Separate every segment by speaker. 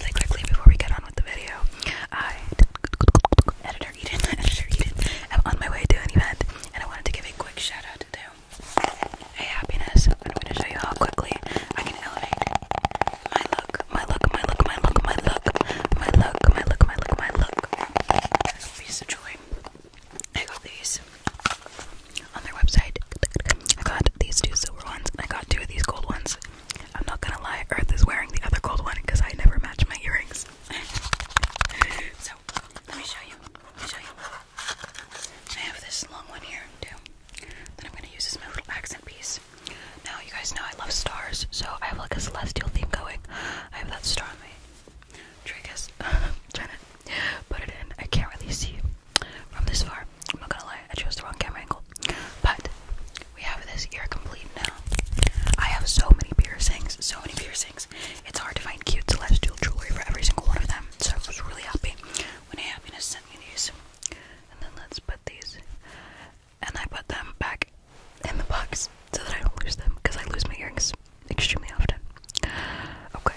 Speaker 1: Really quickly before we get on with the video, I, editor Eden, editor Eden, am on my way to an event, and I wanted to give a quick shout out to them. Hey, happiness! I'm going to show you how quickly I can elevate my look, my look, my look, my look, my look, my look, my look, my look, my look. Piece of joy. I got these on their website. I got these two silver ones, and I got two of these gold ones. I'm not gonna lie, Earth is wearing the other gold one because I never match my earrings. so, let me show you. I have this long one here, too, that I'm gonna use as my little accent piece. Now, you guys know I love stars, so I have like a celestial theme going. I have that star on my trigus. trying to put it in. I can't really see from this far. I'm not gonna lie, I chose the wrong camera angle. But we have this ear complete now. I have so many piercings, so many piercings. It's hard to find cute celestial jewelry for every single one of them. So I was really happy when Happiness sent me these. And then let's put these. And I put them back in the box so that I don't lose them because I lose my earrings extremely often. Okay.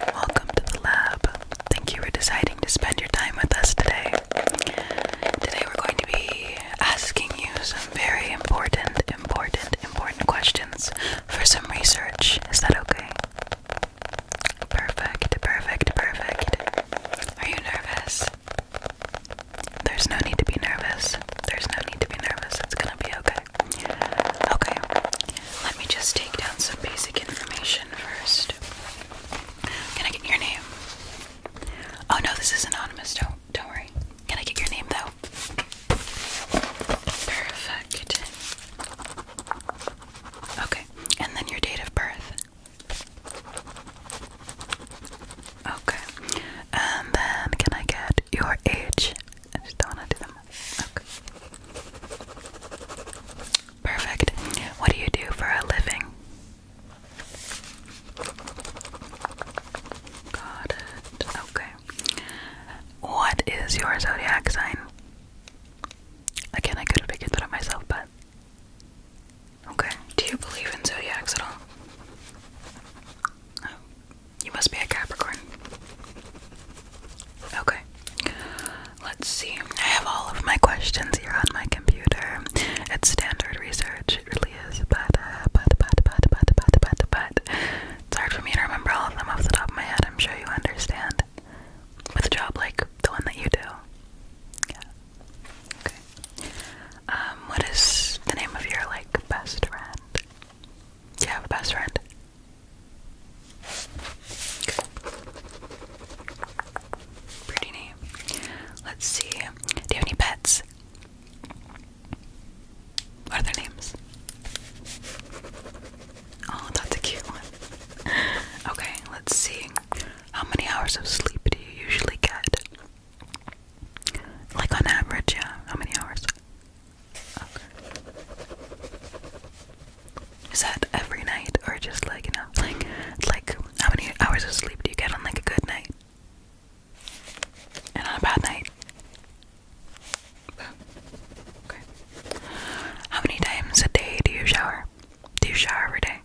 Speaker 1: Welcome to the lab. Thank you for deciding to spend your time with us today. Today we're going to be asking you some very important, important, important questions for some research. Is that okay? Perfect, perfect, perfect. Are you nervous? There's no need to be nervous. There's no need to be nervous. It's gonna be okay. Okay. Let me just take down some basic information first. Can I get your name? Oh no, this is anonymous. do don't worry. Can I get your name though? Perfect. Okay. And then your date of birth. Okay. And then can I get your age I just don't want to do them. Okay. Perfect. What do you do for a living? Got it. Okay. What is your zodiac sign? Again, I could have figured that out myself, but. Okay. Do you believe in zodiacs at all? You must be a Capricorn. Okay, let's see. I have all of my questions here on my computer. It's standard research, it really is, but, uh, but, but, but, but, but, but, but, it's hard for me to remember all of them off the top of my head. I'm sure you understand. With a job like the one that you do. Yeah. Okay. Um, what is the name of your, like, best friend? Do you have a best friend? Pretty neat. Let's see. Do you have any pets? What are their names? Oh, that's a cute one. Okay, let's see. How many hours of sleep do you usually get? Like on average, yeah. How many hours? Is that every night or just like you know, like like how many hours of sleep do you get on like a good night? And on a bad night? Okay. How many times a day do you shower? Do you shower every day?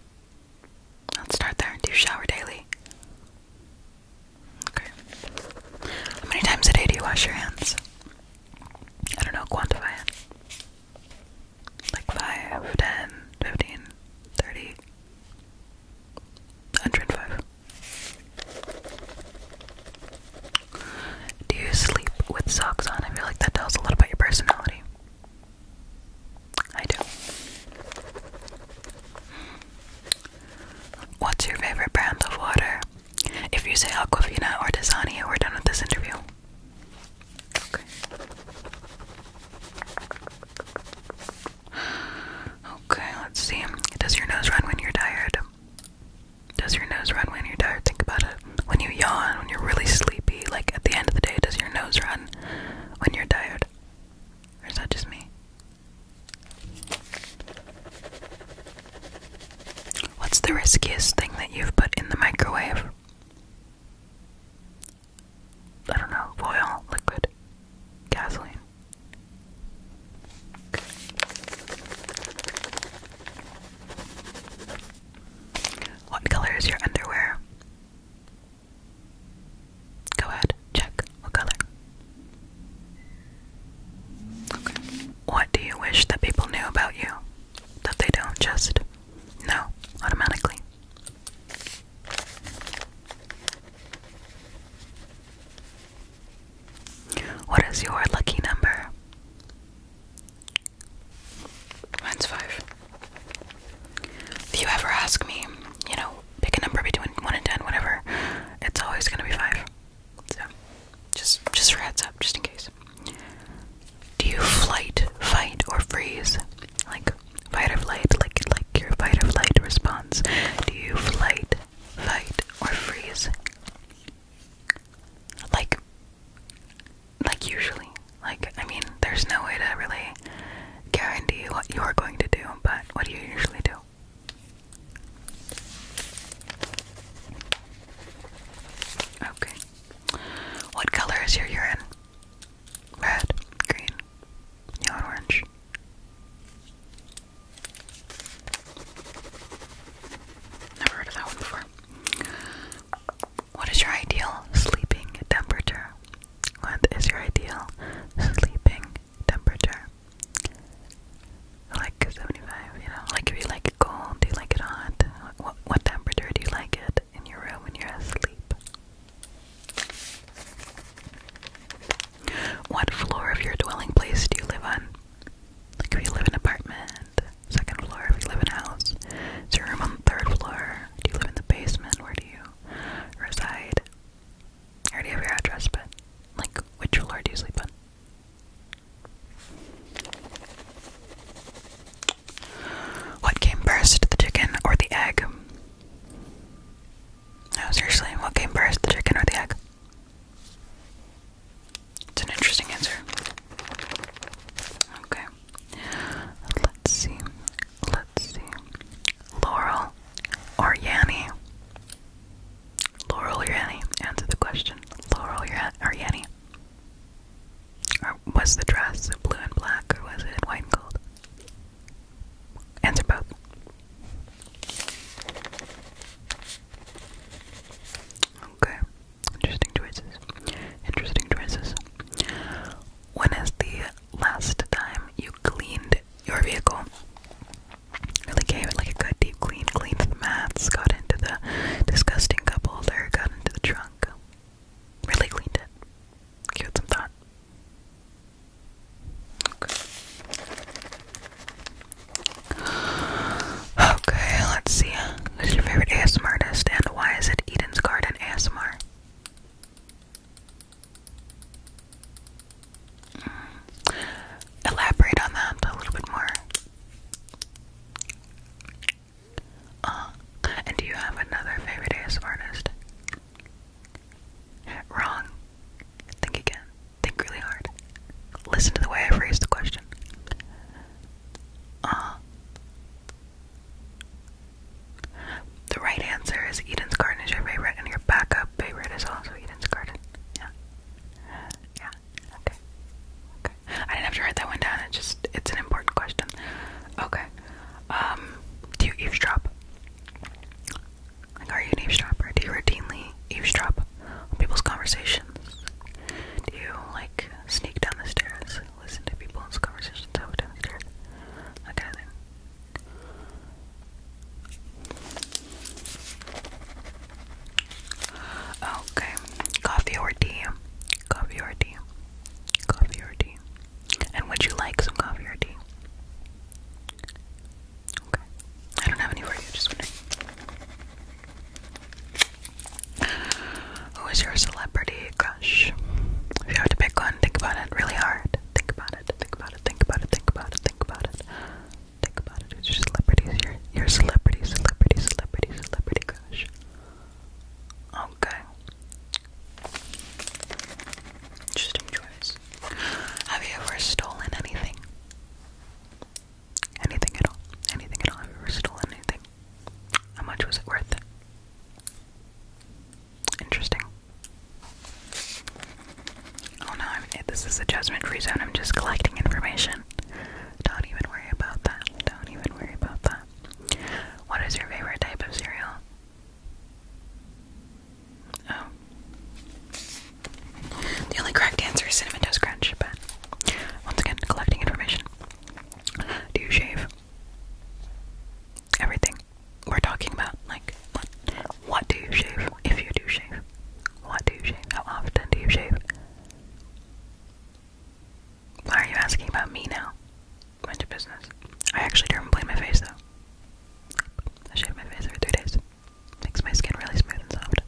Speaker 1: Let's start there. Do you shower daily? Okay. How many times a day do you wash your hands? I don't know, quantify it. Like 5, 10, 15, 30, 105. Do you sleep with socks on? I feel like that tells a lot about your personality. I do. What's your favorite brand of water? If you say Aquafina or Dasani, we're done with this interview. Okay. Okay, let's see. Does your nose run when you're tired? Does your nose run when you're tired? Think about it. When you yawn, when you're really sleepy, like at the end of the day, does your nose run when you're tired? is that just me? What's the riskiest thing that you've put in the microwave? I don't know, oil, liquid, gasoline. What color is your underwear? Go ahead, check. What color? Okay. What do you wish that people knew about you? that they don't just know automatically. What is your lucky number? Mine's five. If you ever ask me, you know, pick a number between one and ten, whatever, it's always gonna be five. So just just for heads up, just in case. Do you flight, fight, or freeze? Like fight or flight, like like your fight or flight response. Do you flight, fight, or freeze? Like like usually. Like I mean there's no way to really guarantee what you're going to do, but what do you usually do? Okay. What color is your urine? Red, green, yellow, orange. Never heard of that one before. What is your ideal sleeping temperature? What is your ideal sleeping temperature? Like 75, you know? Like if you like cold? Do you like it hot? What, what temperature do you like it in your room when you're asleep? What floor of your dwelling place do you live on? Like if you live in an apartment, second floor, if you live in a house, is your room on the third floor? Do you live in the basement? Where do you reside? I already have your address, but like which floor do you sleep on? What came first, the chicken or the egg? No, seriously, what came first, the chicken or the egg? It's an interesting answer. Okay. Let's see. Let's see. Laurel or Yanni? Laurel or Yanni? Answer the question. Laurel or Yanni? Or uh, was the dress blue and black, or was it white and gold? Answer both. Okay, interesting choices. Interesting choices. When is the last time you cleaned your vehicle? Really gave it like a good deep clean, cleaned the mats, got into the disgusting couple, there got into the trunk. Really cleaned it. Give some thought. Okay. let's see. Who's your favorite ASMR and why is it Eden's Garden ASMR? Mm. Elaborate on that a little bit more. Uh, and do you have another favorite ASMR artist? Wrong. Think again. Think really hard. Listen to the way I phrased the question. Uh, the right answer is Eden's Garden is your favorite, and your backup favorite is also Eden's Garden. Yeah. Yeah. Okay. Okay. I didn't have to write that one down. It's just it's an important question. Okay. Um, do you eavesdrop? Like, are you eavesdropper? Do you routinely eavesdrop on people's conversations? Do you like sneak down listen to people's conversations over down the stairs? Okay, coffee or tea? Coffee or tea? Coffee or tea? And would you like some coffee or tea? Okay. I don't have any for you, just kidding. Who is your celebrity crush? If you have to pick one, think about it really hard. Think about it, think about it, think about it, think about it, think about it. Think about it. Who's your celebrity? Your, your celebrity, celebrity, celebrity, celebrity crush. Okay. Just enjoy Have you ever stolen anything? Anything at all? Anything at all? Have you ever stolen anything? How much was it worth? Interesting. Oh no, this is the judgment free zone. I'm just collecting information. Don't even worry about that. Don't even worry about that. What is your favorite type of cereal? Oh. The only correct answer is Cinnamon Toast Crunch, but once again, collecting information. Do you shave? Everything. We're talking about, like, what, what do you shave? If you do shave, what do you shave? How often do you shave? Why are you asking about me now? Mind to business. I actually don't blade my face though. I shave my face every three days. Makes my skin really smooth and soft.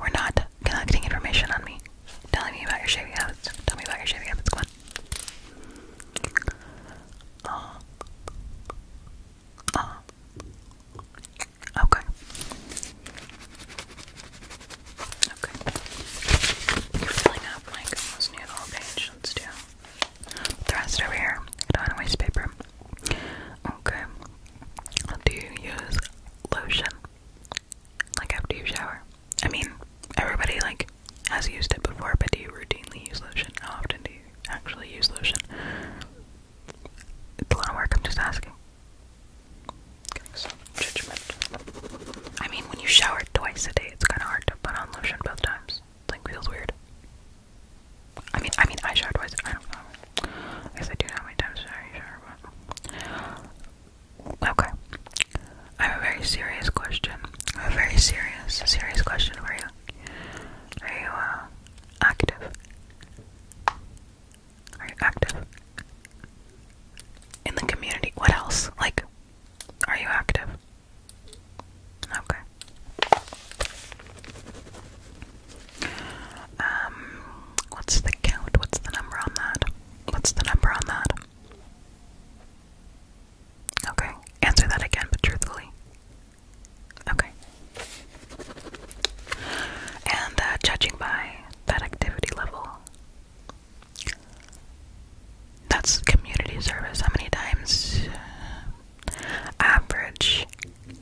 Speaker 1: We're not collecting information on me. Telling me about your shaving habits. Tell me about your shaving habits. Come on. Uh, uh Okay. Okay. You're filling up like almost the whole page. Let's do the rest over here. don't waste paper. Okay. Do you use lotion? Like after you shower? I mean, everybody like has used it before, but do you routinely use lotion? How often do you actually use lotion? It's a lot of work, I'm just asking. Getting some judgment. I mean, when you shower twice a day, it's kind of hard to put on lotion both times. It, like, feels weird. I mean, I mean, I shower twice. I don't know. I guess I do know how many times I shower. But... Okay. I have a very serious question. I have a very serious, serious question for you. Are you uh, active? Are you active? In the community? What else? Like, are you active? Okay. Um, what's the count? What's the number on that? What's the number on that? Okay, answer that again, but truthfully. Okay. And uh, judging by that activity level, that's community service. How many times uh, average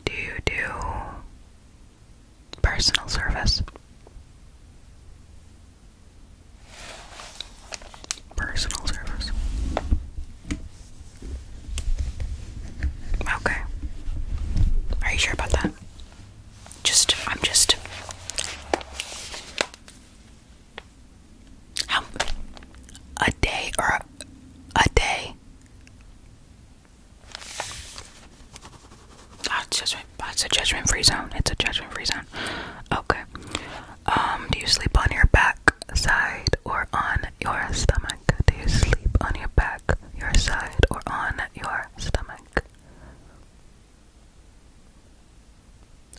Speaker 1: do you do personal service? Personal service. Okay. Are you sure about that? Just, I'm just. How a day or a, day? Ah, it's just, it's a judgment free zone. It's a judgment free zone. Okay. Um, do you sleep on your back side or on your stomach? Do you sleep on your back, your side, or on your stomach?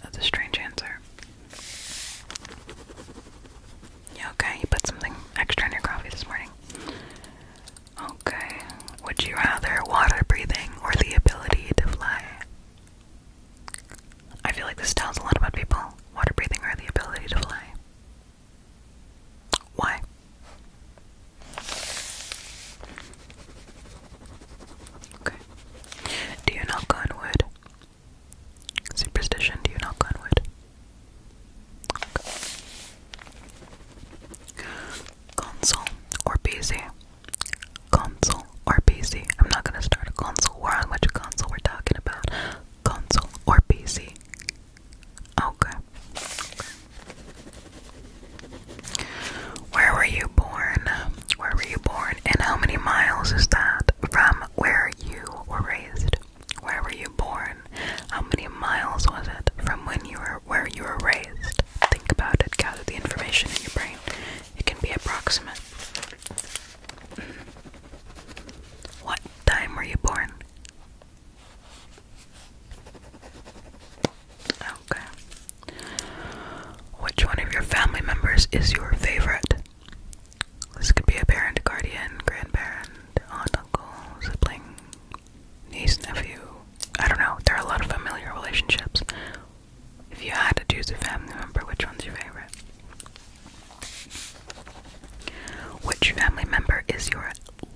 Speaker 1: That's a strange answer. okay, you put something extra in your coffee this morning. Okay, would you rather water breathing or the ability to fly? I feel like this tells a lot about people. Water breathing or the ability to fly. Why? Okay. Do you knock on wood? Superstition, do you knock on wood? Console or PC? Console or PC? I'm not gonna start a console war which console we're talking about. Console or PC? Okay. Where were you born? Where were you born? And how many miles is that from where you were raised? Where were you born? How many miles was it from when you were where you were raised? Think about it, gather the information in your brain. It can be approximate. What time were you born? Okay. Which one of your family members is your favorite? This could be a parent, guardian, grandparent, aunt, uncle, sibling, niece, nephew. I don't know. There are a lot of familiar relationships. If you had to choose a family member, which one's your favorite? Which family member is your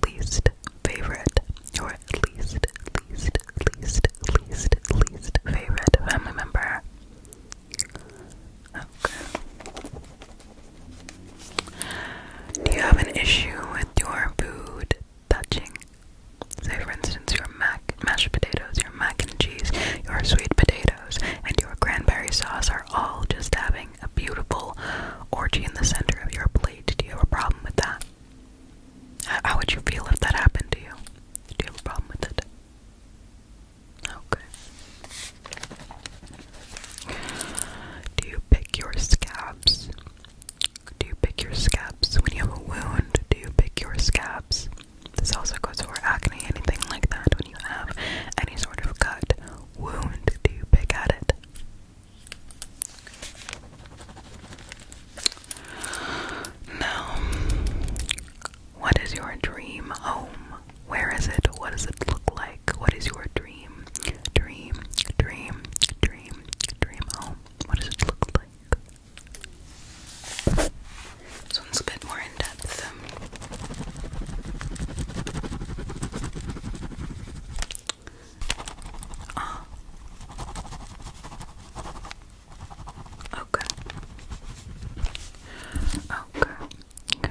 Speaker 1: least favorite, your least, least, least, least, least favorite family member. Okay. Do you have an issue with your food touching? Say, for instance, your mac mashed potatoes, your mac and cheese, your sweet potatoes, and your cranberry sauce are all just having a beautiful orgy in the center of your plate. Do you have a problem with that? How would you feel if that happened to you? Do you have a problem with it? Okay. Do you pick your scabs? Do you pick your scabs when you have a wound? Do you pick your scabs? This also goes for acne, anything like that. When you have any sort of cut, wound, do you pick at it? Now, what is your dream home? Where is it? What does it look like? What is your dream? Dream, dream, dream, dream home. What does it look like? This one's a bit more in depth. Ah. Okay. Okay.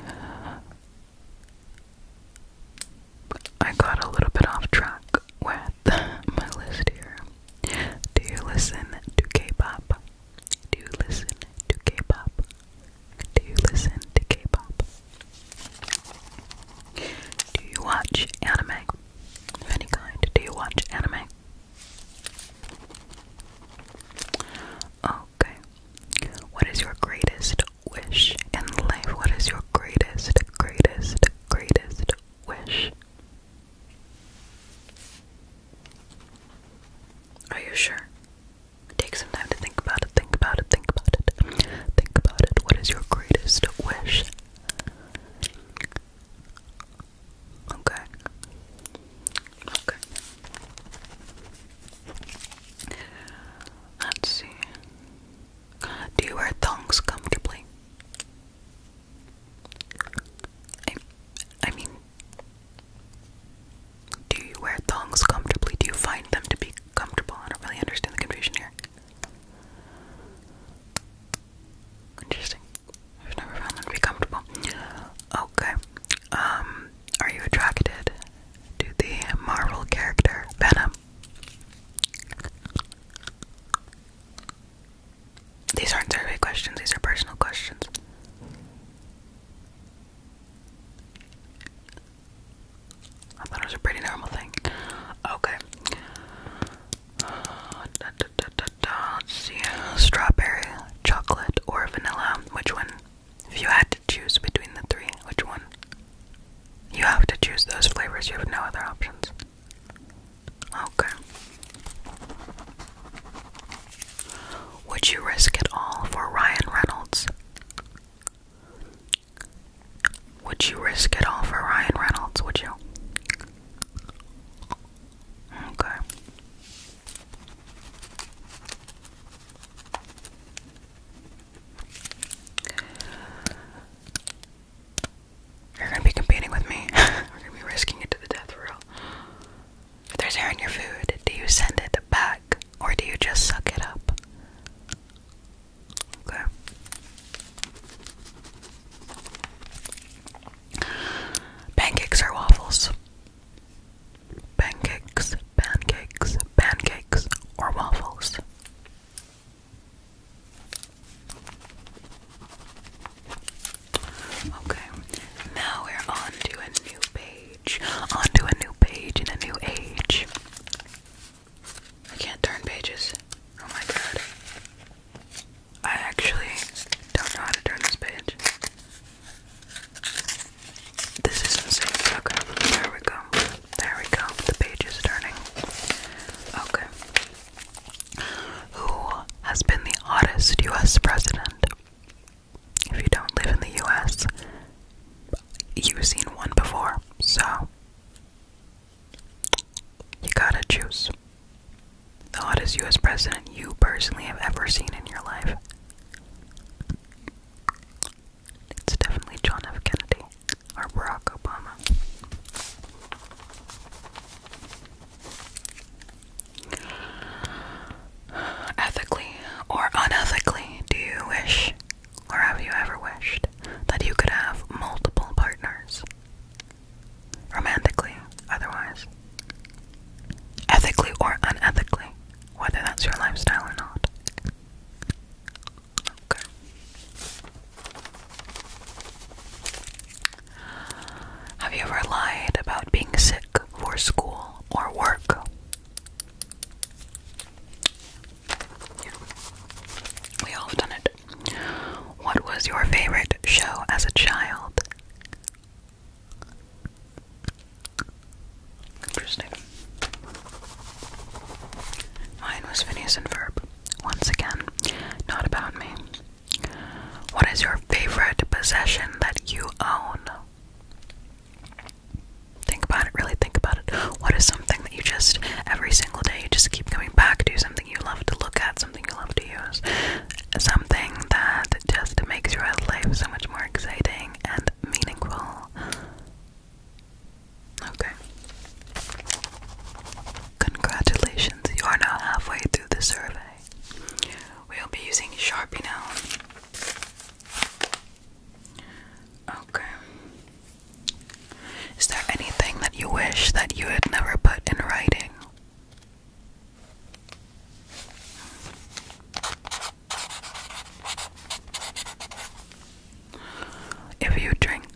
Speaker 1: I got a little bit off track with my list here. Do you listen to K-pop? Do you listen to K-pop? Do you listen to K-pop? Do you watch anime? any kind? Do you watch anime? Okay. What is your greatest wish in life? What is your greatest, greatest, greatest wish? Are you sure? Take some time to think about it, think about it, think about it, think about it. What is your greatest wish? Okay. Okay. Let's see. Do you wear thongs comfortably? I, I mean, do you wear thongs comfortably? Do you find them to be comfortable? I don't really understand the confusion here. Interesting. I've never found them to be comfortable. Okay. Um, are you attracted to the Marvel character Venom? These aren't survey questions, these are personal questions. I thought it was a pretty normal thing. Okay. Uh, strawberry, chocolate, or vanilla. Which one? If you had to choose between the three, which one? You have to choose those flavors. You have no other options. Okay. Would you risk it all for Ryan Reynolds? Would you risk it all for Ryan Reynolds? Would you? Okay. You're gonna be competing with me. We're gonna be risking it to the death real. If there's air in your food, do you send it back or do you just suck it up? Okay. Pancakes or waffles? Pancakes, pancakes, pancakes, or waffles? Okay, now we're on to a new page. On to a new page in a new age. I can't turn pages. Oh my god. I actually don't know how to turn this page. This is insane. Okay, there we go. There we go. The page is turning. Okay. Who has been the oddest US president? If you don't live in the US, you've seen one before, so you gotta choose. The hottest US president you personally have ever seen in your life. It's definitely John F. Kennedy or Barack Obama. Ethically or unethically, do you wish, or have you ever wished, that you could have multiple partners? romantically, otherwise, ethically or unethically, whether that's your lifestyle or not. Okay. Have you ever lied about being sick for school or work? We all have done it. What was your favorite show as a child? Interesting. Mine was Phineas and Verb. Once again, not about me. What is your favorite possession that you own? Think about it, really think about it. What is something that you just, every single day, you just keep coming back to, something something you love to look at, something you love to use, something that just makes your life so much more exciting and meaningful. Okay. Congratulations, you are now halfway through the survey. We'll be using Sharpie now. Okay. Is there anything that you wish that you had never put in writing? If you drink,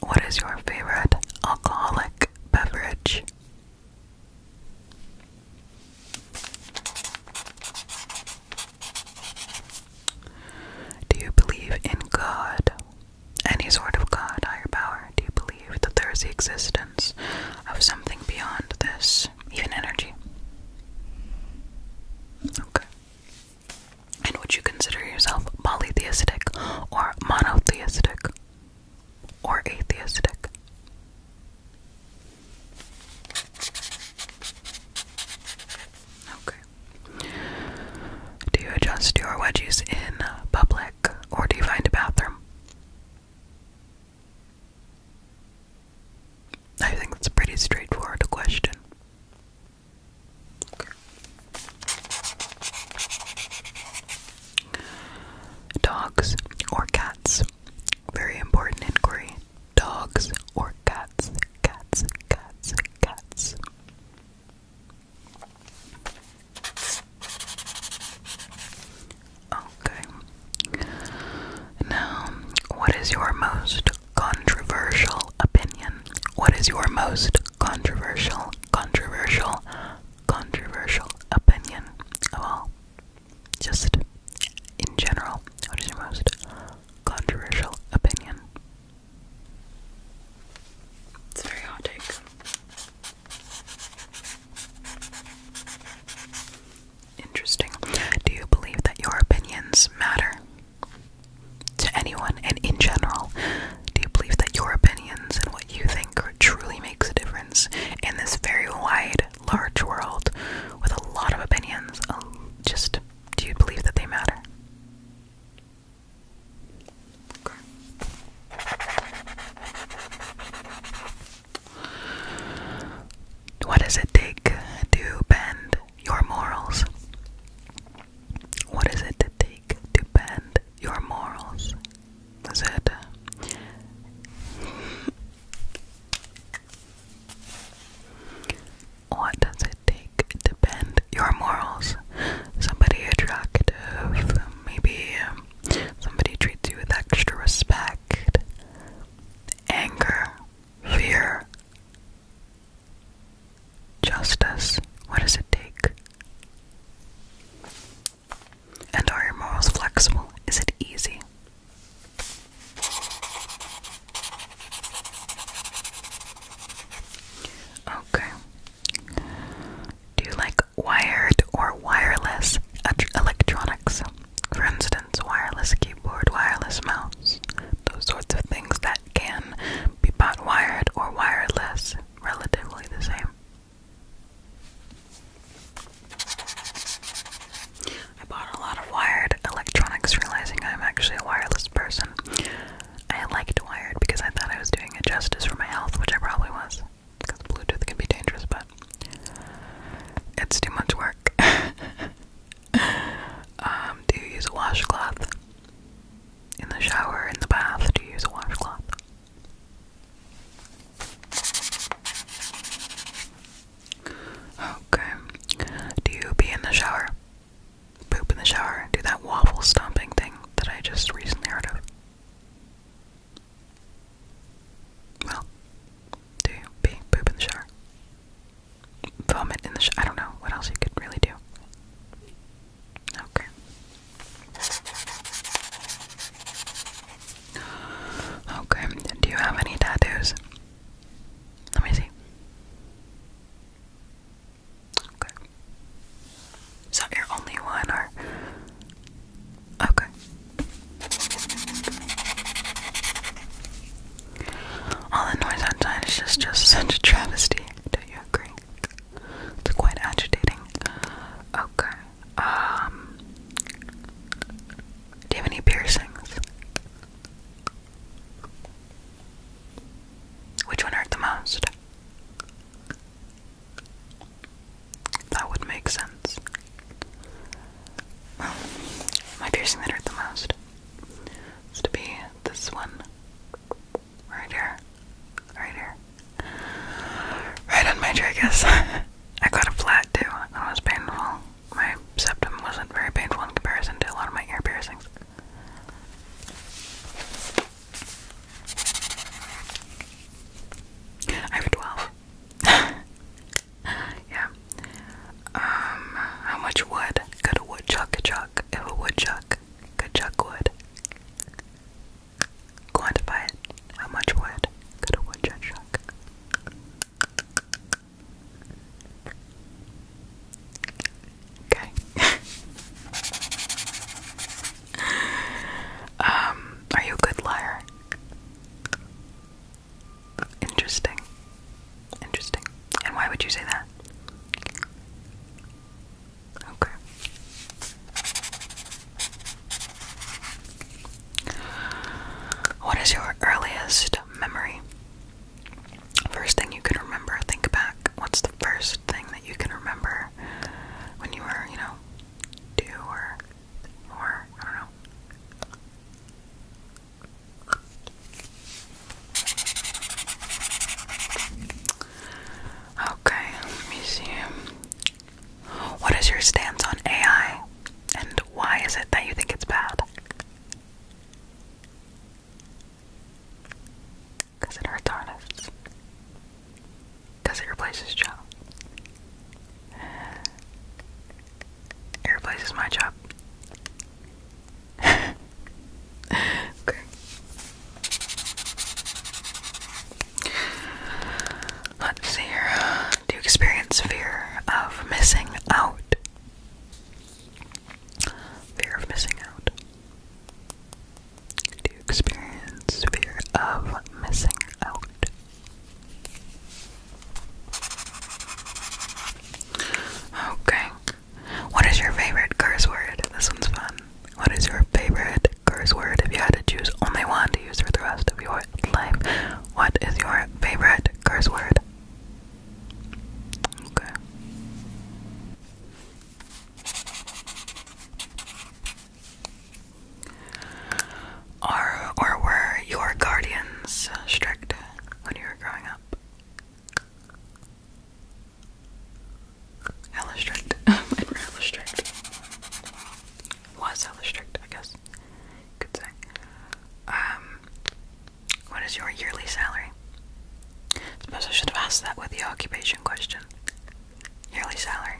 Speaker 1: what is your favorite alcoholic beverage? Do you believe in God? any sort of God, higher power? Do you believe that there is the existence of something beyond this, even energy? Okay. And would you consider yourself polytheistic or monotheistic or atheistic? Okay. Do you adjust your wedgies in public or do you find a bathroom? I think that's a pretty straightforward question. Dogs or cats? Very important inquiry. Dogs or cats? Cats, cats, cats. Okay. Now, what is your most controversial opinion? What is your most controversial, controversial, controversial opinion of all? Just in general, what is your most controversial opinion? It's very hard take. Interesting. Do you believe that your opinions matter to anyone and in general? Do you believe that your opinions and what you think truly makes a difference in this very wide, large world with a lot of opinions? Um, just do you believe that they matter? What does it take to bend your morals? What does it take to bend your morals? Is it? What does it take to bend your morals? somebody attractive, maybe um, somebody treats you with extra respect, anger, fear, justice. What does it take? And are your morals flexible? Is it easy? Okay. Do you like wired or wireless electronics? For instance, wireless keyboard, wireless mouse, those sorts of things that can be bought wired or wireless, relatively the same. I bought a lot of wired electronics, realizing I'm actually a wireless person. I liked Wired because I thought I was doing it justice for my health, which I probably was. Because Bluetooth can be dangerous, but it's too much work. um, do you use a washcloth? In the shower, in the bath, do you use a washcloth? Okay. Do you be in the shower? Poop in the shower? Do that waffle stomping thing that I just recently heard of? Well, do you pee, poop in the shower? Vomit in the shower? I don't know what else you could really do. Okay. Okay, do you have any tattoos? Let me see. Okay. Is that your only one or okay. All the noise outside is just, just such a travesty. Do you agree? It's quite agitating. Okay. Um do you have any piercings? Which one hurt the most? That would make sense. Well, my piercing that hurt the most is to be this one. Right here. Right here. Right on my tragus. I got a flat too. That was painful. My septum wasn't very painful in comparison to a lot of my ear piercings. I have 12. yeah. Um, how much wood could a woodchuck chuck if a woodchuck could chuck wood? Quantify it. How much wood could a woodchuck chuck? Okay. Um, are you a good liar? Interesting. Interesting. And why would you say that? Okay. What is your earliest memory? First thing you can remember, think back what's the first thing that you can remember when you were, you know, two or or I don't know. Okay, let see. What is your stance on AI and why is it that you think it's bad? Because it hurts artists. Because it replaces job. It replaces my job. okay. Let's see here. Do you experience fear of missing out? Fear of missing out. Do you experience fear of missing out? Okay. What is your favorite curse word? This one's fun. What is your favorite curse word? If you had to choose only one to use for the rest of your life, what is your favorite curse word? Okay. Are or were your guardians strict when you were growing up? Hella strict. and strict. Was hella strict, I guess. Good thing. Um, what is your yearly salary? suppose I should have asked that with the occupation question yearly salary.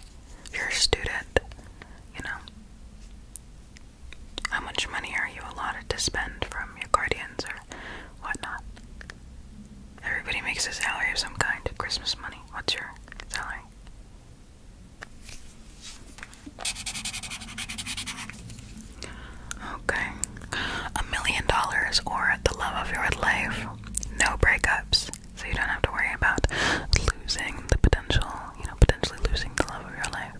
Speaker 1: You're a student, you know. How much money are you allotted to spend from your guardians or whatnot? Everybody makes a salary of some kind. Christmas money. What's your salary? Okay. A million dollars or the love of your life. No breakups so you don't have to worry about losing the potential, you know, potentially losing the love of your life.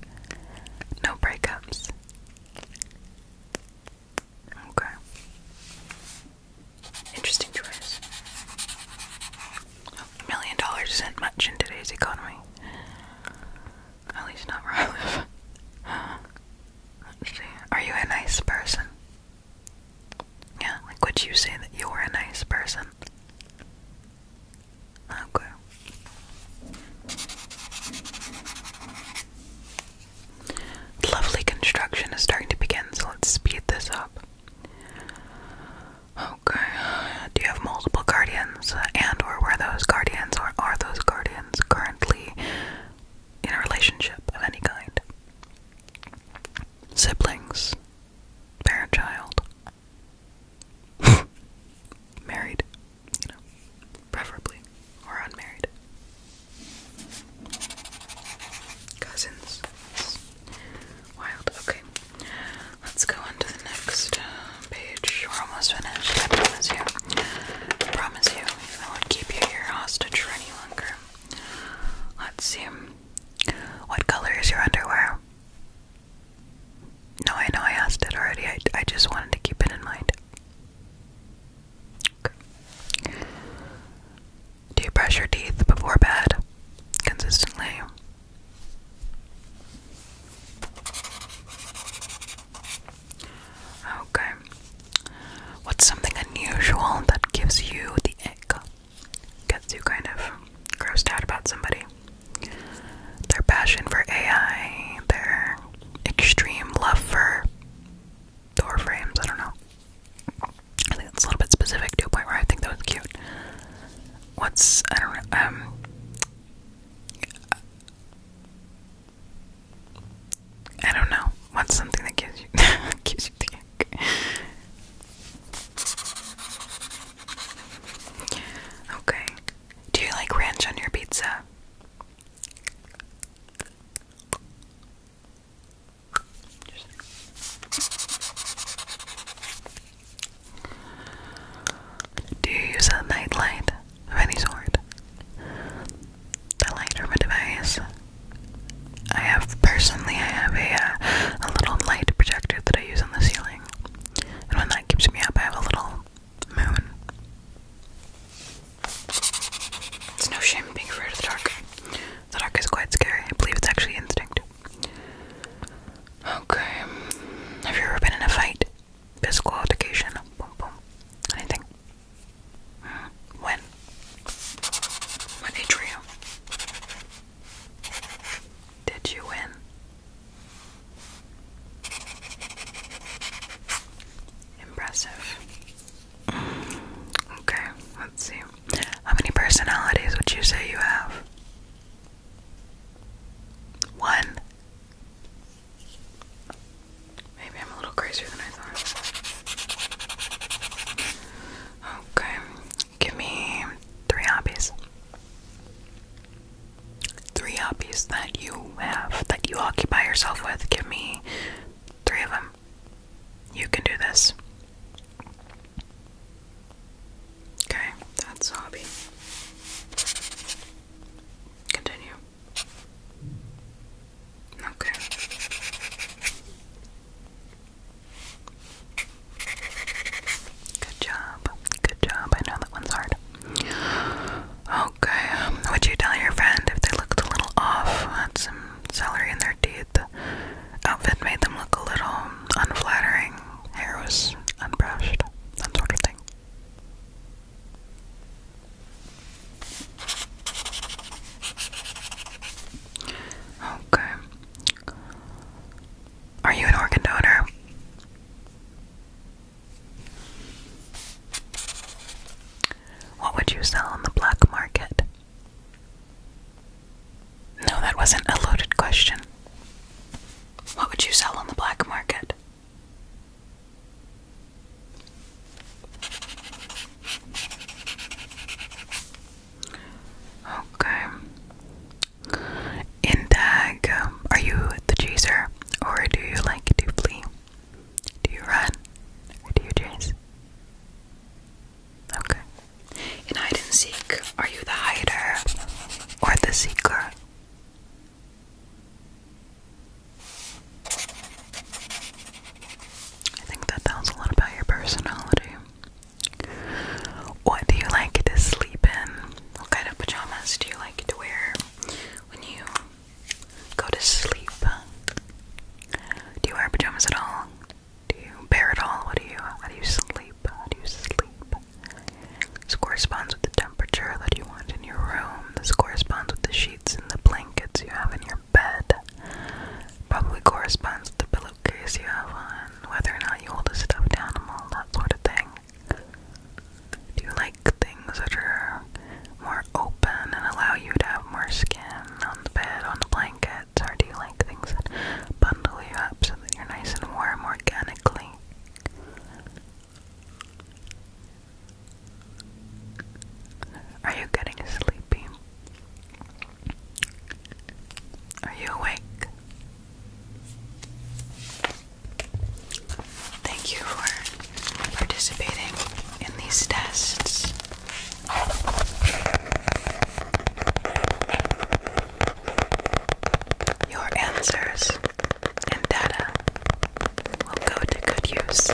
Speaker 1: No breakups. Okay. Interesting choice. A million dollars isn't much in today's economy. At least not where I live. see. Are you a nice person? Yeah, like would you say that you're a nice person? Okay. Lovely construction is starting to begin, so let's speed this up. Okay. Do you have multiple guardians? And or were those guardians or are those guardians currently in a relationship of any kind? siblings, parent child, married, preferably, or unmarried, cousins. wild. Okay, let's go on the next uh, page. We're almost finished. I promise you. I promise you, I won't keep you here hostage any longer. Let's see. What color is your underwear? No, I know I asked it already. I, I just wanted to keep it in mind. Do you brush your teeth before bed? Consistently. Okay. What's something unusual that gives you the ick? gets you kind of grossed out about somebody. Their passion for AI, their extreme love for door frames, I don't know. I think it's a little bit specific to a point where I think that was cute. What's I don't know, um I don't know. What's something that gives you gives you Okay. Do you like ranch on your pizza? Do you use a nightlight of any sort? The light from a device I have personally, I have a uh, a little light projector that I use on the ceiling, and when that keeps me up, I have a little moon. It's no shame being afraid of the dark. The dark is quite scary. I believe it's actually instinct. Okay. Have you ever been in a fight? Physical altercation? Boom, boom. Anything? Hmm. When? What Did you win? Impressive. Okay, let's see. How many personalities would you say you have? One. Maybe I'm a little crazier than I thought. Okay, give me three hobbies. Three hobbies that you have, that you occupy yourself with. Give me three of them. You can do this. Okay, that's hobby. Continue. Okay. Good job. Good job. I know that one's hard. Okay. Um, would you tell your friend if they looked a little off, had some celery in their teeth? outfit made them look a little unflattering. Hair was unbrushed. That sort of thing. Okay. Are you an organ donor? What would you sell on the black market? No, that wasn't a loaded question. What would you sell on the black market? Okay. In tag, um, are you the chaser or do you like to flee? Do you run or do you chase? Okay. In hide and seek, are you the hider or the seeker? I think that tells a lot about your personality. What do you like to sleep in? What kind of pajamas do you like to wear when you go to sleep? Do you wear pajamas at all? Do you bear at all? What do you how do you sleep? How do you sleep? This corresponds with the temperature that you want in your room. This corresponds with the sheets and the blankets you have in your your bed probably corresponds to the pillowcase you have on, whether or not you hold a stuffed animal, that sort of thing. Do you like things that are more open and allow you to have more skin on the bed, on the blankets, or do you like things that bundle you up so that you're nice and warm organically? Are you getting sleepy? Are you awake? Thank you for participating in these tests. Your answers and data will go to good use.